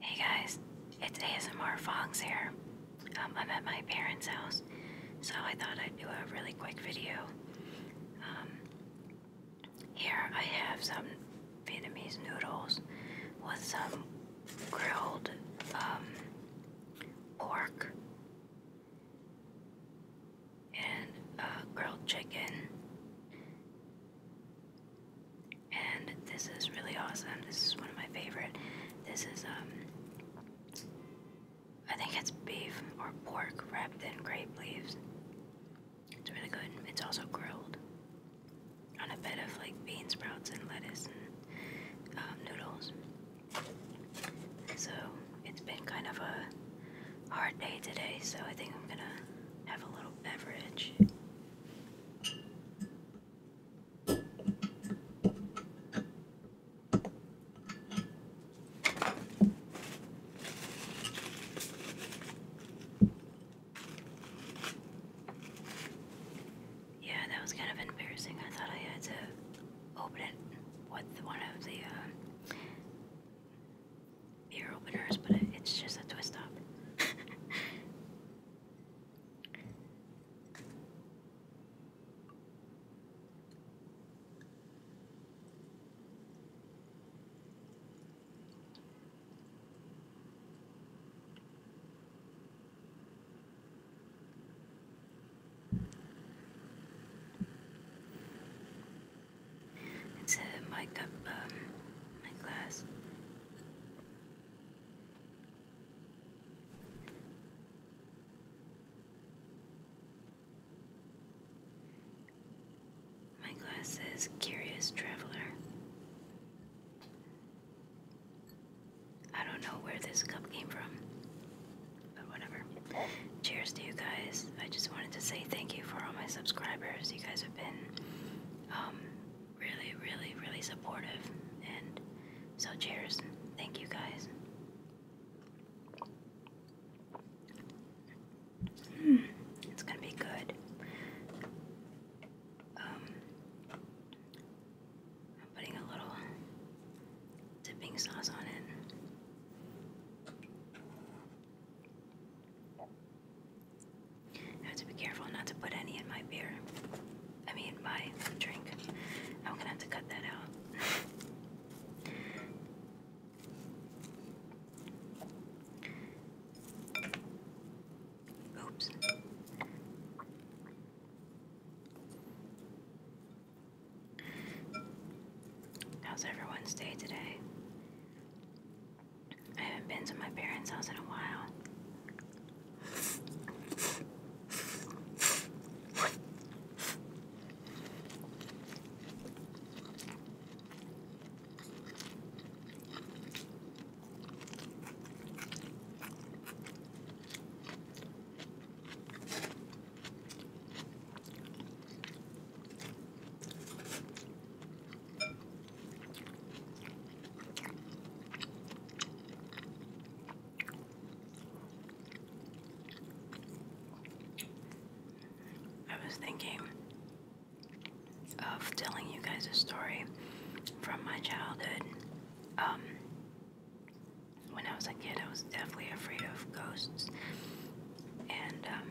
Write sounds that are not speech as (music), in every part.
Hey guys, it's ASMR Fox here. Um, I'm at my parents' house, so I thought I'd do a really quick video. Um, here I have some Vietnamese noodles with some grilled um, pork and a uh, grilled chicken and this is really awesome. This is one of my favorite. This is um, I think it's beef or pork wrapped in grape leaves. It's really good. It's also grilled on a bed of like bean sprouts and lettuce and um, noodles. So it's been kind of a hard day today, so I think I'm gonna have a little beverage yeah, that was kind of embarrassing. I thought I had to open it with one of the um, beer openers, but it's just a twist up. It's in my cup, my glass. My glass says Curious Traveler. I don't know where this cup came from, but whatever. Cheers to you guys. I just wanted to say thank you for all my subscribers. You guys have been um, really, really, really supportive. And so, cheers. Thank you guys. Hmm, it's gonna be good. Um, I'm putting a little dipping sauce on it. I have to be careful not to put any in my beer. I mean, my drink. I'm gonna have to cut that out. (laughs) Oops. How's everyone's day today? I haven't been to my parents' house in a while. I was thinking of telling you guys a story from my childhood. Um, when I was a kid, I was definitely afraid of ghosts, and um,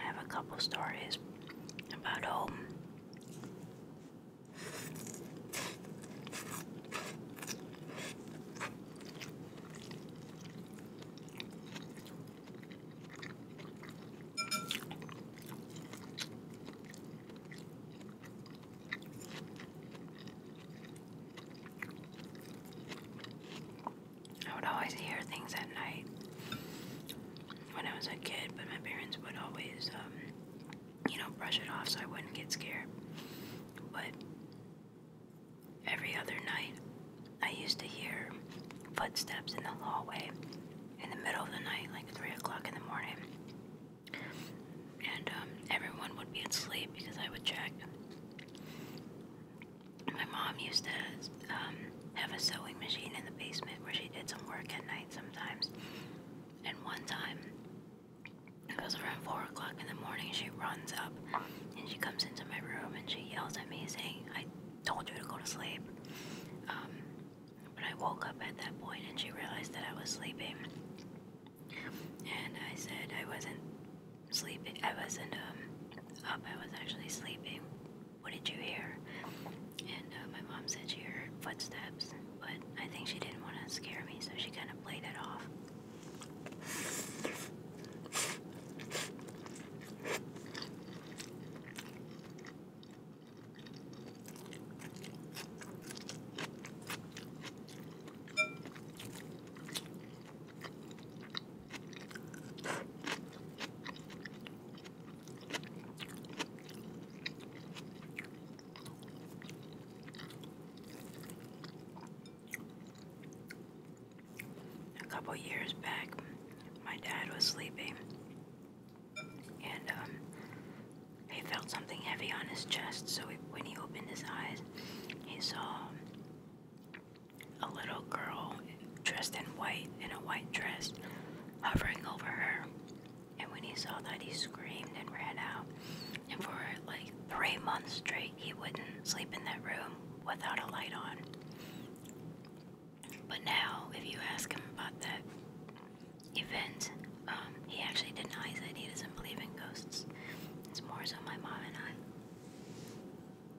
I have a couple stories about home. I would always hear things at night when I was a kid, but my parents would always, um, you know, brush it off so I wouldn't get scared. But every other night, I used to hear footsteps in the hallway in the middle of the night, like 3 o'clock in the morning. And um, everyone would be asleep because I would check my mom used to um, have a sewing machine in the basement where she did some work at night sometimes. And one time, it was around 4 o'clock in the morning, she runs up and she comes into my room and she yells at me saying, I told you to go to sleep. Um, but I woke up at that point and she realized that I was sleeping. And I said I wasn't sleeping, I wasn't um, up, I was actually sleeping what did you hear? And uh, my mom said she heard footsteps, but I think she didn't want to scare me, so she kind of played it off. A couple years back, my dad was sleeping, and um, he felt something heavy on his chest. So when he opened his eyes, he saw a little girl dressed in white in a white dress hovering over her. And when he saw that, he screamed and ran out. And for like three months straight, he wouldn't sleep in that room without a light on. But now, if you ask him about that event, um, he actually denies it. He doesn't believe in ghosts. It's more so my mom and I.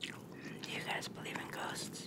Do you guys believe in ghosts?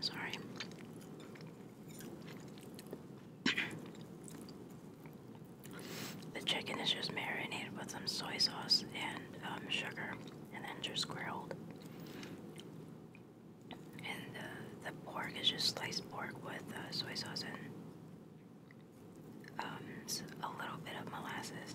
Sorry. The chicken is just marinated with some soy sauce and um, sugar, and then just grilled. And uh, the pork is just sliced pork with uh, soy sauce and um, a little bit of molasses.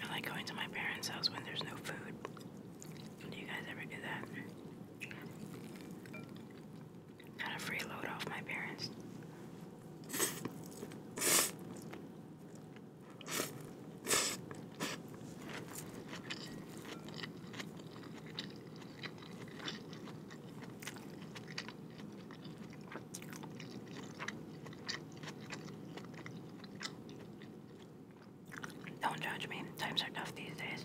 I like going to my parents' house when there's no food. Do you guys ever do that? Kind of freeload off my parents. Don't judge me. Times are tough these days.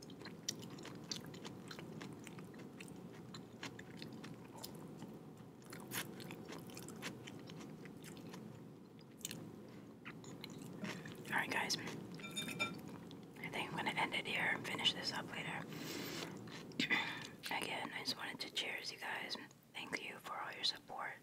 Alright, guys, I think I'm going to end it here and finish this up later. Again, I just wanted to cheers you guys. Thank you for all your support.